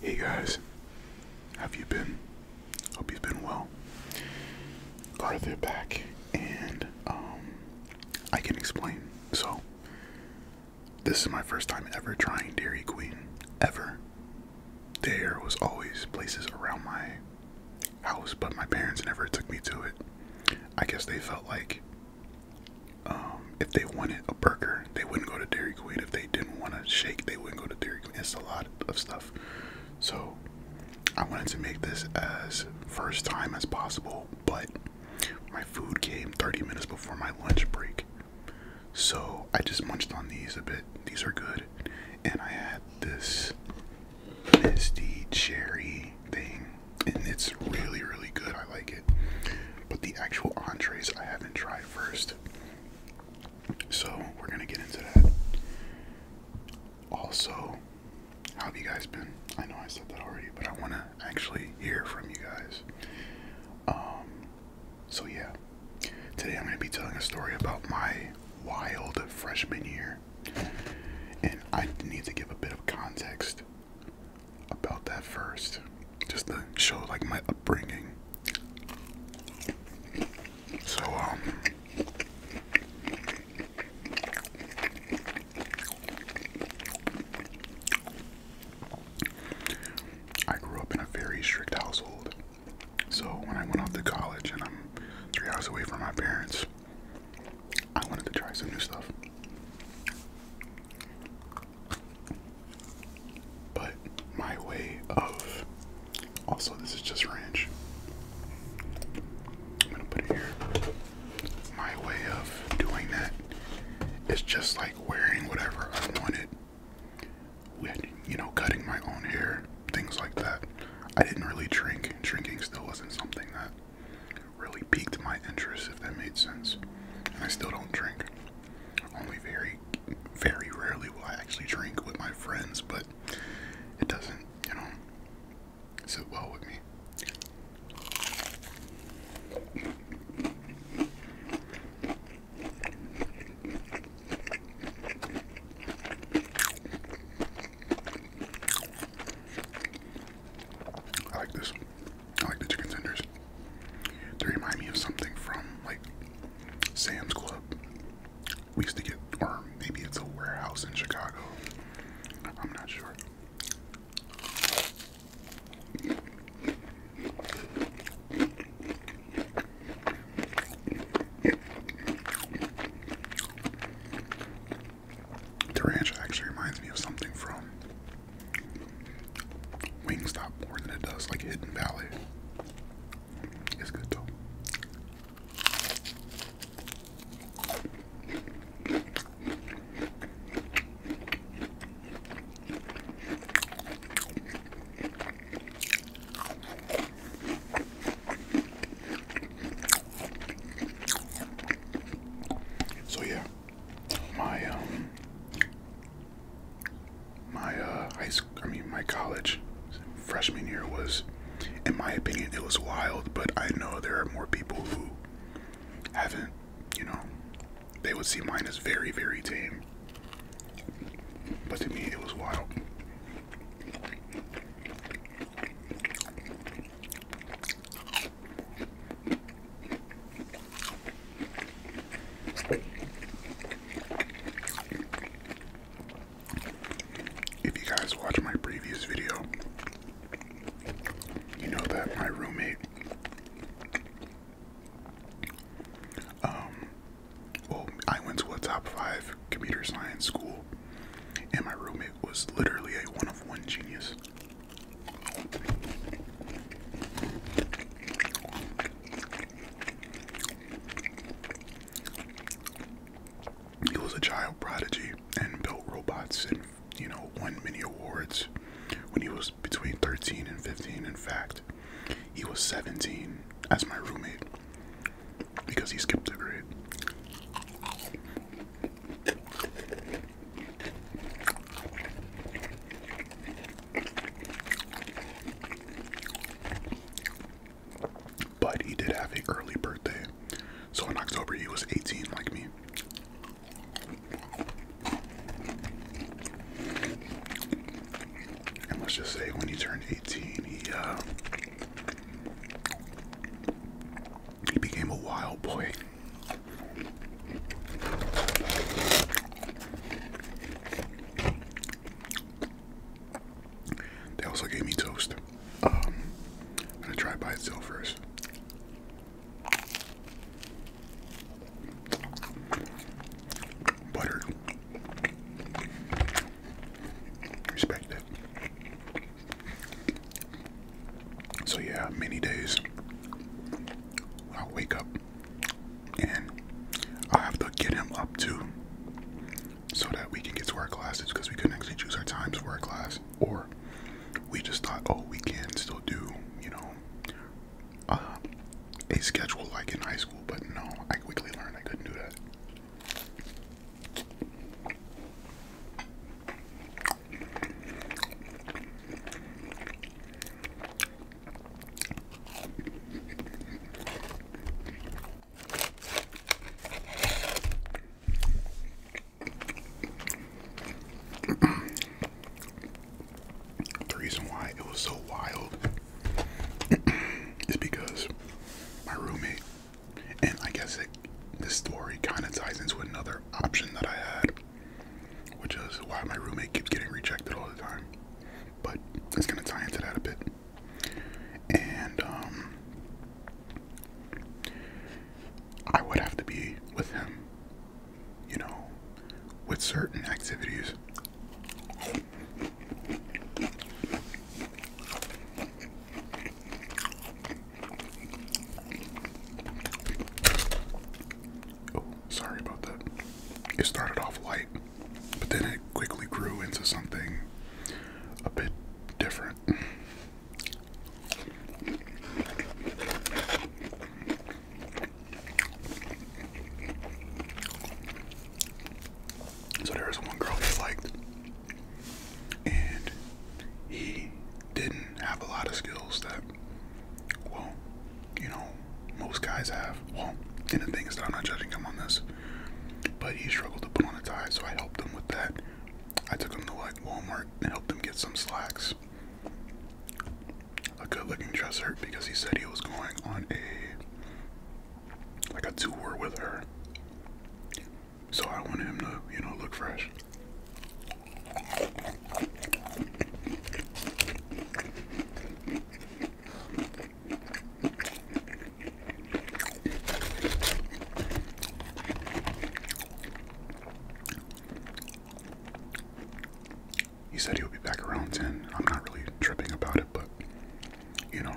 Hey guys, have you been? Hope you've been well. Glad back, and um, I can explain. So, this is my first time ever trying Dairy Queen, ever. There was always places around my house, but my parents never took me to it. I guess they felt like um, if they wanted a burger, they wouldn't go to Dairy Queen. If they didn't want a shake, they wouldn't go to Dairy Queen. It's a lot of stuff. So I wanted to make this as first time as possible, but my food came 30 minutes before my lunch break. So I just munched on these a bit. These are good. And I had this misty cherry thing. And it's really, really good. I like it. But the actual entrees I haven't tried first. So we're gonna get into that. Also, how have you guys been? I know I said that already, but I wanna actually hear from you guys. Um, so yeah. Today I'm gonna be telling a story about my wild freshman year. And I need to give a bit of context about that first, just to show like my upbringing. So um. I grew up in a very strict household. So when I went off to college and I'm three hours away from my parents, I wanted to try some new stuff. But my way of also this is just ranch. I'm gonna put it here. My way of doing that is just like wearing whatever I wanted. you know, cutting my own hair, things like that. I didn't really drink. Drinking still wasn't something that really piqued my interest, if that made sense. And I still don't drink. Only very very rarely will I actually drink with my friends, but it doesn't, you know, sit well with me. I like this. I like the chicken tenders. They remind me of something from like Sam's Club. We used to get, or maybe it's a warehouse in Chicago. I'm not sure. The ranch actually reminds me of something from Wings stop more than it does like Hidden Valley. It's good though. So yeah, my um my uh, high school, I mean, my college freshman year was, in my opinion, it was wild, but I know there are more people who haven't, you know, they would see mine as very, very tame. But to me, it was wild. If you guys watch my previous video, you know that my roommate um, well I went to a top five computer science school and my roommate was literally a one of one genius. He was a child prodigy and built robots and, you know, won many awards when he was between 13 and 15. In fact, he was 17 as my roommate because he skipped a grade. But he did have an early birthday. So in October, he was 18, like me. And let's just say when he turned 18, he, uh, he became a wild boy. They also gave me toast. Um, I'm gonna try it by itself first. Butter. Respect it. So yeah, many days i wake up and I'll have to get him up too so that we can get to our classes because we couldn't actually choose our times for our class or we just thought oh we can still do you know um, a schedule like in high school but no I quickly learned I couldn't do that the reason why it was so wild is because my roommate, and I guess it, this story kind of ties into another option that I had which is why my roommate keeps getting rejected all the time. But it's gonna tie into that a bit. And um, I would have to be with him, you know, with certain activities. Oh, sorry about that. It started off light, but then it quickly grew into something a bit different. So there was one girl he liked, and he didn't and have a lot of skills that, well, you know, most guys have. Well, and the thing is I'm not judging him on this, but he struggled to put on a tie, so I helped him with that. I took him to like Walmart and helped him get some slacks. A good looking dresser because he said he was going on a like a tour with her. So I wanted him to, you know, look fresh. He said he'll be back around 10. I'm not really tripping about it, but you know,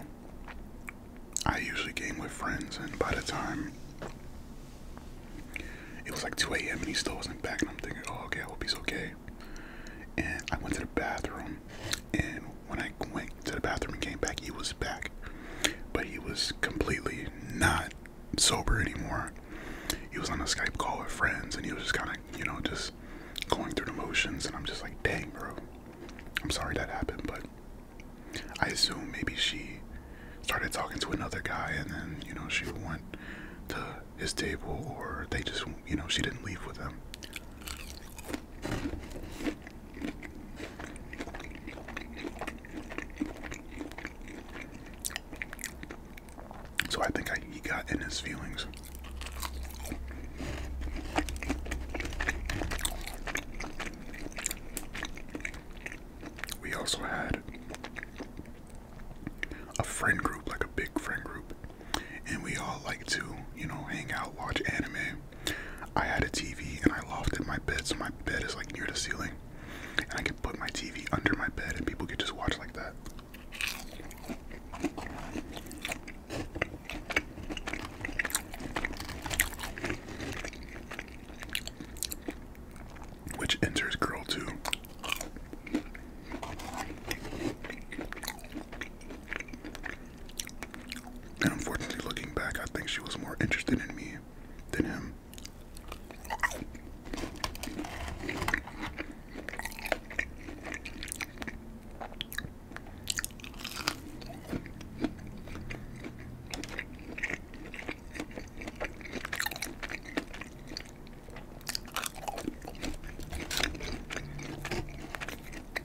I usually game with friends, and by the time it was like 2 a.m. and he still wasn't back, and I'm thinking, oh, okay, I hope he's okay. And I went to the bathroom, and when I went to the bathroom and came back, he was back, but he was completely not sober anymore. He was on a Skype call with friends, and he was just kind of, you know, just going through the motions. And I'm just like, dang, bro, I'm sorry that happened, but I assume maybe she started talking to another guy, and then you know she went to his table, or they just, you know, she didn't leave with him. So I think he got in his feelings. We also had a friend group, like a big friend group, and we all like to, you know, hang out, watch anime. I had a TV and I lofted my bed, so my bed is like near the ceiling, and I can put my TV under my bed, and people can just watch like that. Which enters girl two. And unfortunately, looking back, I think she was more interested in me than him.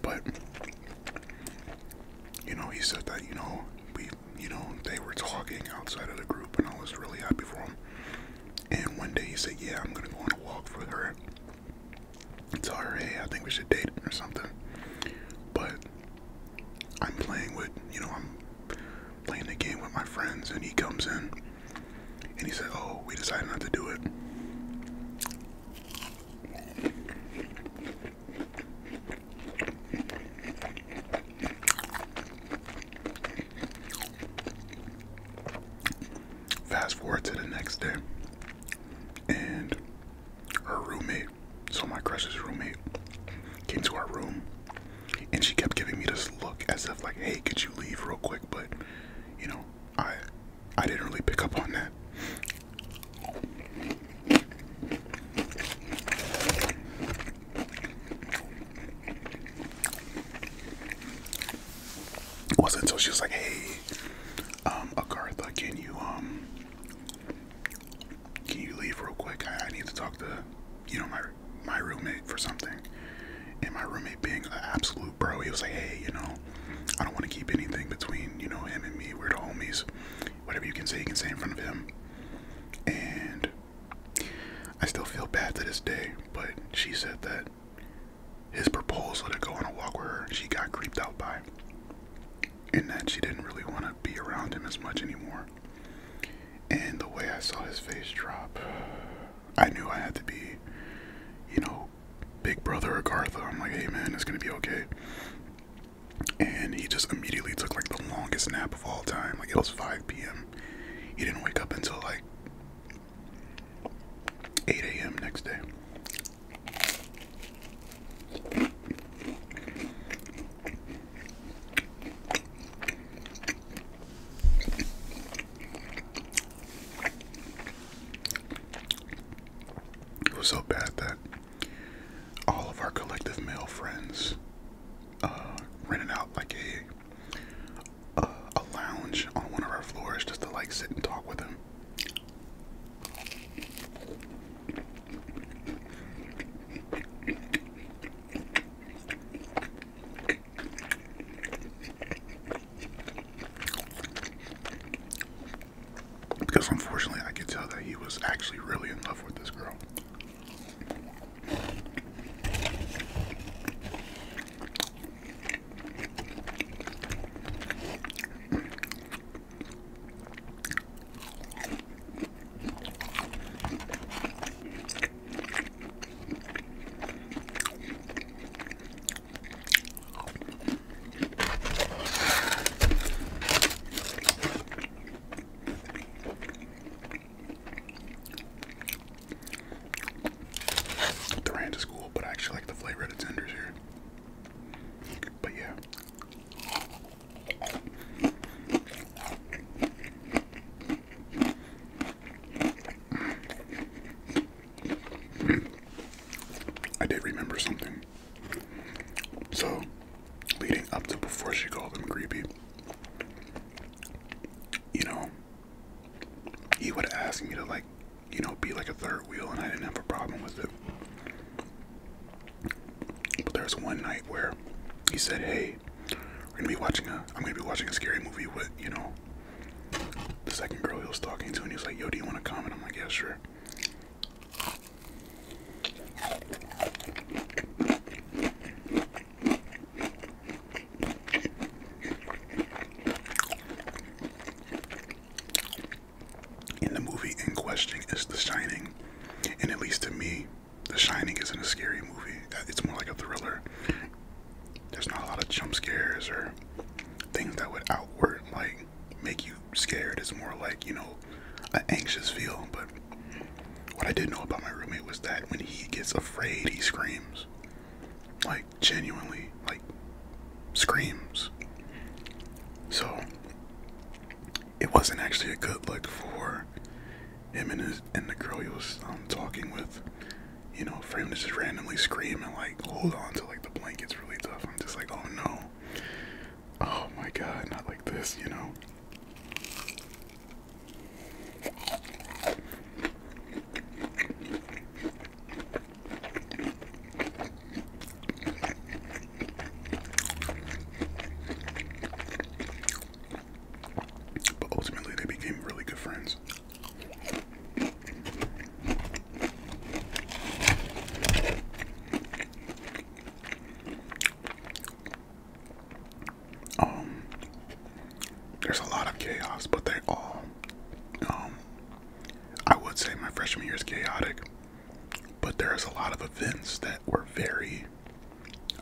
But you know, he said that you know we, you know, they were talking outside of the group, and I was really happy for him. And one day he said, "Yeah, I'm gonna go on a walk with her." And her, "Hey, I think we should date or something." But I'm playing with, you know, I'm playing the game with my friends, and he comes in and he said, Oh, we decided not to do it. Fast forward to the next day, and her roommate, so my crush's roommate, came to our room and she kept giving me this look as if like, hey, could you leave real quick? But you know, I I didn't really pick up on that. It wasn't until she was like, hey, um, Agartha, can you um can you leave real quick? I, I need to talk to you know my my roommate for something. And my roommate being an absolute bro, he was like, hey, you know, I don't want to keep anything between, you know, him and me. We're homies. Whatever you can say, you can say in front of him. And I still feel bad to this day, but she said that his proposal to go on a walk with her, she got creeped out by. And that she didn't really want to be around him as much anymore. And the way I saw his face drop, I knew I had to be, you know, Big Brother of Garth. I'm like, hey man, it's gonna be okay. And he just immediately took like the longest nap of all time. Like it was 5 p.m. He didn't wake up until like 8 a.m. next day. It was so bad that all of our collective male friends uh, rented out like a uh, a lounge on one of our floors just to like sit and talk with him. Because unfortunately, I could tell that he was actually really in love with this girl. The ranch is cool, but I actually like the flavor of the tenders here. But yeah. I did remember something. So, leading up to before she called him creepy, you know, he would ask me to, like, you know, be like a third wheel, and I didn't have a problem with it. But there was one night where he said, Hey, i are gonna be watching a. I'm gonna be watching a scary movie with you know. The second girl he was talking to, and he was like, "Yo, do you want to comment?" I'm like, "Yeah, sure." In the movie in question is The Shining, and at least to me, the Shining isn't a scary movie. Uh, it's more like a thriller. There's not a lot of jump scares or things that would outward like make you scared. It's more like, you know, an anxious feel. But what I did know about my roommate was that when he gets afraid, he screams. Like genuinely, like screams. So it wasn't actually a good look for him and his and the girl he was um, talking with, you know, for him to just randomly scream and like hold on to like the blanket's really tough. I'm just like, oh no, oh my god, not like this, you know. But ultimately, they became really good friends. Um, there's a lot of chaos, but they all, um, I would say my freshman year is chaotic, but there's a lot of events that were very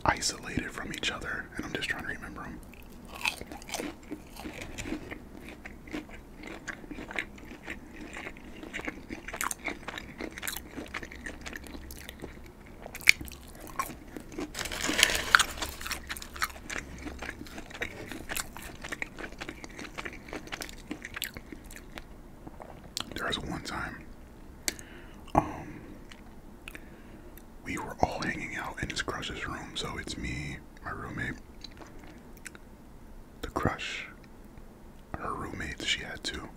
isolated from each other, and I'm just trying to remember them. There was one time um, we were all hanging out in his crush's room, so it's me, my roommate, the crush, her roommate. she had two,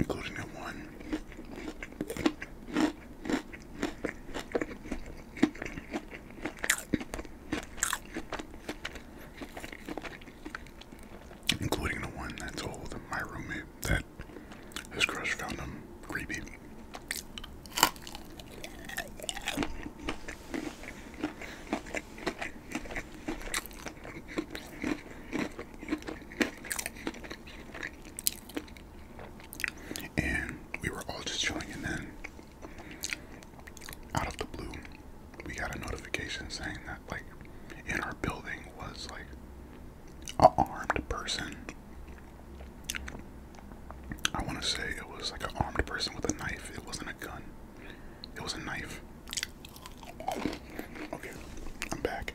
including the one including the one that told my roommate that his crush found him creepy. And we were all just chilling, and then out of the blue, we got a notification saying that like in our building was like a armed person. I want to say it was like an armed person with a knife. It wasn't a gun. It was a knife. Okay, I'm back,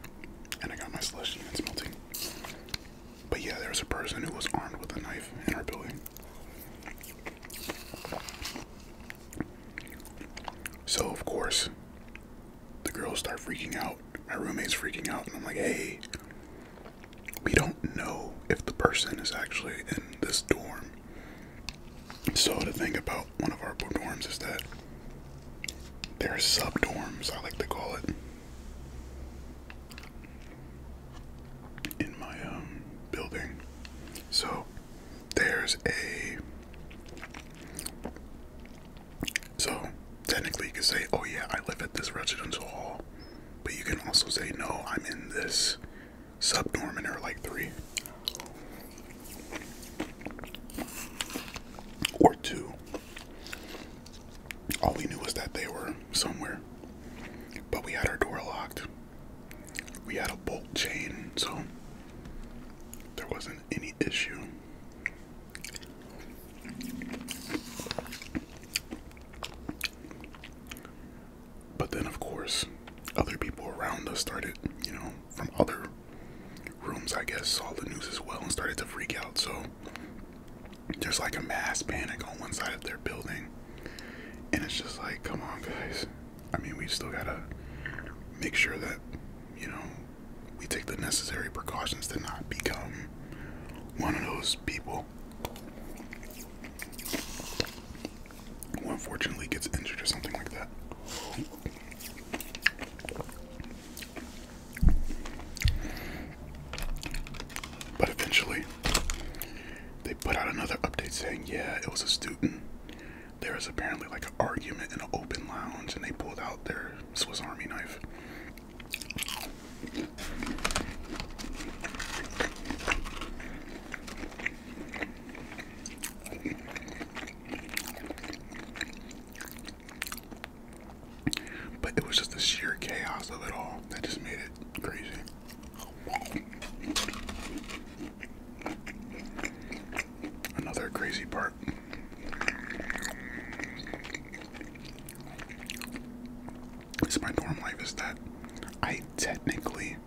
and I got my slush and it's melting. But yeah, there was a person who was armed with a knife in our building. So, of course, the girls start freaking out. My roommate's freaking out, and I'm like, hey, we don't know if the person is actually in this dorm. So, the thing about one of our dorms is that there are sub dorms, I like to call it. In my um, building, so there's a so technically you could say oh yeah i live at this residential hall but you can also say no i'm in this subnorman or like three or two all we knew was that they were somewhere but we had our door locked we had a bolt chain, so there wasn't any issue. But then, of course, other people around us started, you know, from other rooms, I guess, saw the news as well and started to freak out. So there's like a mass panic on one side of their building. And it's just like, come on, guys, I mean, we still gotta make sure that, you know, we take the necessary precautions to not become one of those people who unfortunately gets injured or something like that. But eventually, they put out another update saying, yeah, it was a student there was apparently like an argument in an open lounge and they pulled out their Swiss Army knife. But it was just the sheer chaos of it all that just made it crazy another crazy part. It's my dorm life is that I technically,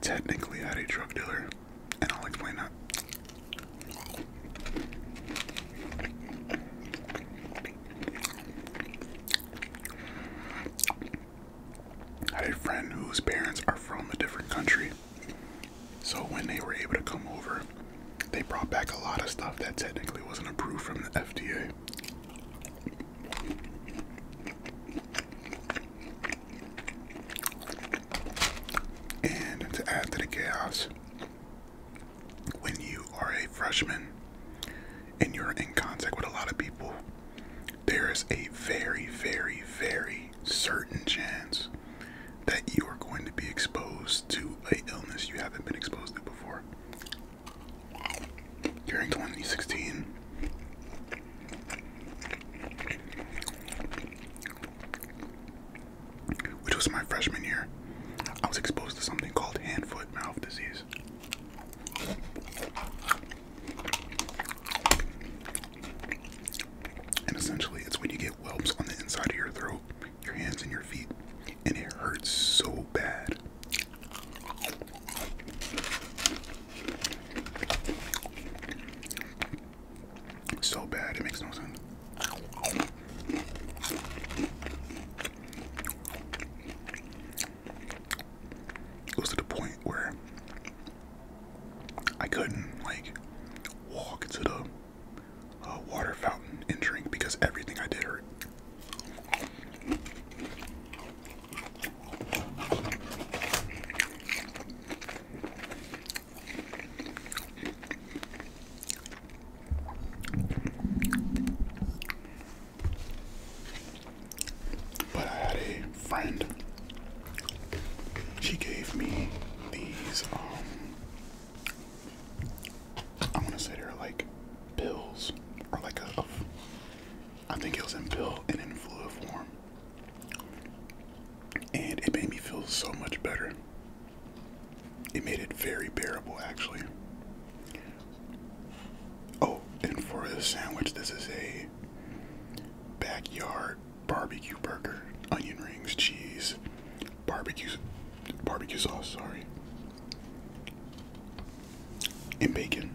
technically had a drug dealer, and I'll explain that. I had a friend whose parents are from a different country, so when they were able to come over, they brought back a lot of stuff that technically wasn't approved from the FDA. And to add to the chaos, when you are a freshman and you're in contact with a lot of people there is a very, very, very certain chance that you are going to be exposed to a illness you haven't been exposed to before. During 2016, which was my freshman year, I was exposed to something called hand foot mouth disease. And essentially, it's when you get whelps on the inside of your throat, your hands, and your feet, and it hurts so bad. So bad, it makes no sense. It goes to the point where I couldn't like walk to the uh, water fountain and drink because everything I did hurt. But I had a friend. She gave me these, I want to say they're like pills, or like a, a, I think it was in pill and in fluid form. And it made me feel so much better. It made it very bearable, actually. Oh, and for the sandwich, this is a backyard barbecue burger, onion rings, cheese, barbecue, barbecue sauce, sorry, and bacon.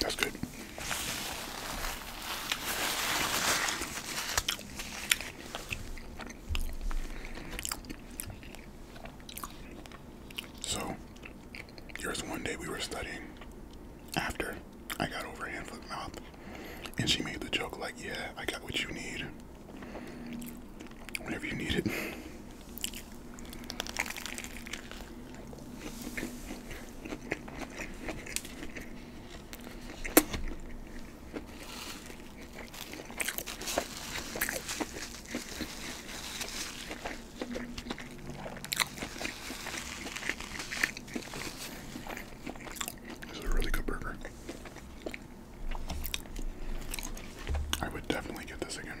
That's good. So, there's one day we were studying after I got over hand foot mouth, and she made the joke like, "Yeah, I got what you need whenever you need it." This is a really good burger. I would definitely get this again.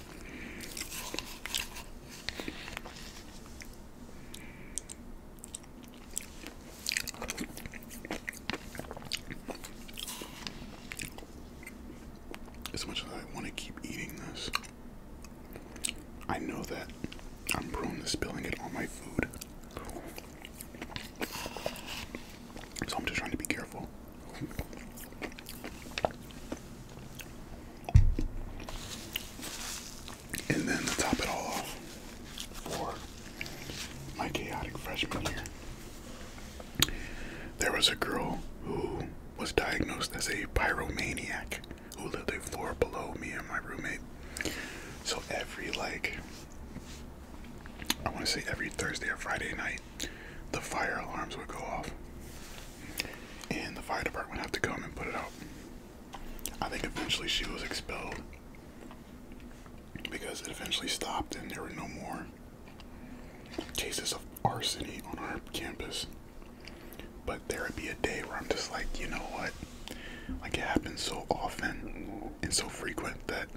As much as I want to keep eating this, I know that I'm prone to spilling it on my food. So I'm just trying to be careful. And then to top it all off for my chaotic freshman year, there was a girl who was diagnosed as a pyromaniac who lived a floor below me and my roommate. So every like I want to say every Thursday or Friday night the fire alarms would go off, and the fire department would have to come and put it out. I think eventually she was expelled because it eventually stopped, and there were no more cases of arsony on our campus. But there would be a day where I'm just like, you know what? Like it happens so often and so frequent that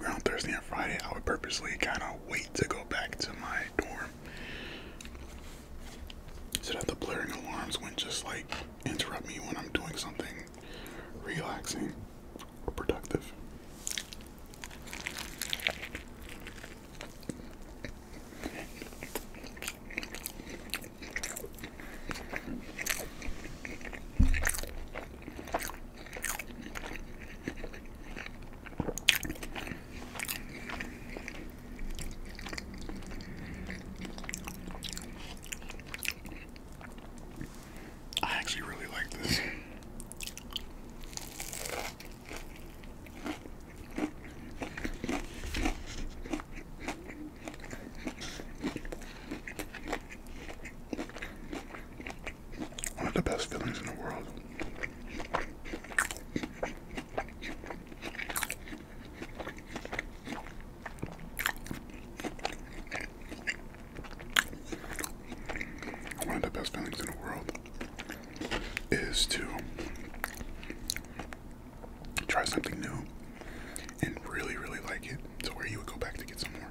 around Thursday and Friday, I would purposely kind of wait to go back to my dorm so that the blaring alarms wouldn't just like interrupt me when I'm doing something relaxing or productive. I actually really like this one of the best feelings in the world. One of the best feelings in the world is to try something new and really, really like it to where you would go back to get some more.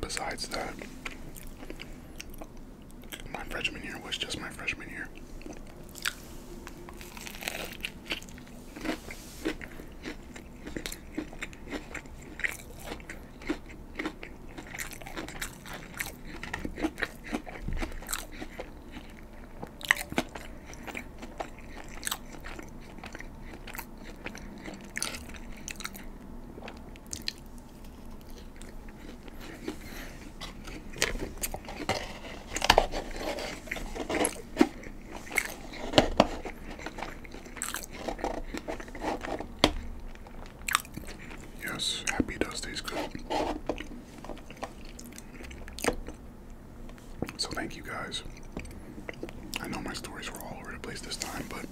Besides that, my freshman year was just my freshman year. Yes, happy does taste good. So, thank you guys. I know my stories were all over the place this time, but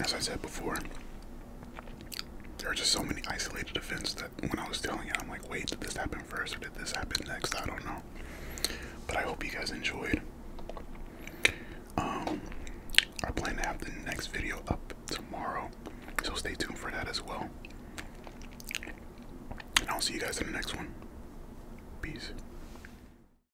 as I said before, there are just so many isolated events that when I was telling it, I'm like, wait, did this happen first or did this happen next? I don't know. But I hope you guys enjoyed. Um, I plan to have the next video up tomorrow, so stay tuned for that as well. And I'll see you guys in the next one. Peace.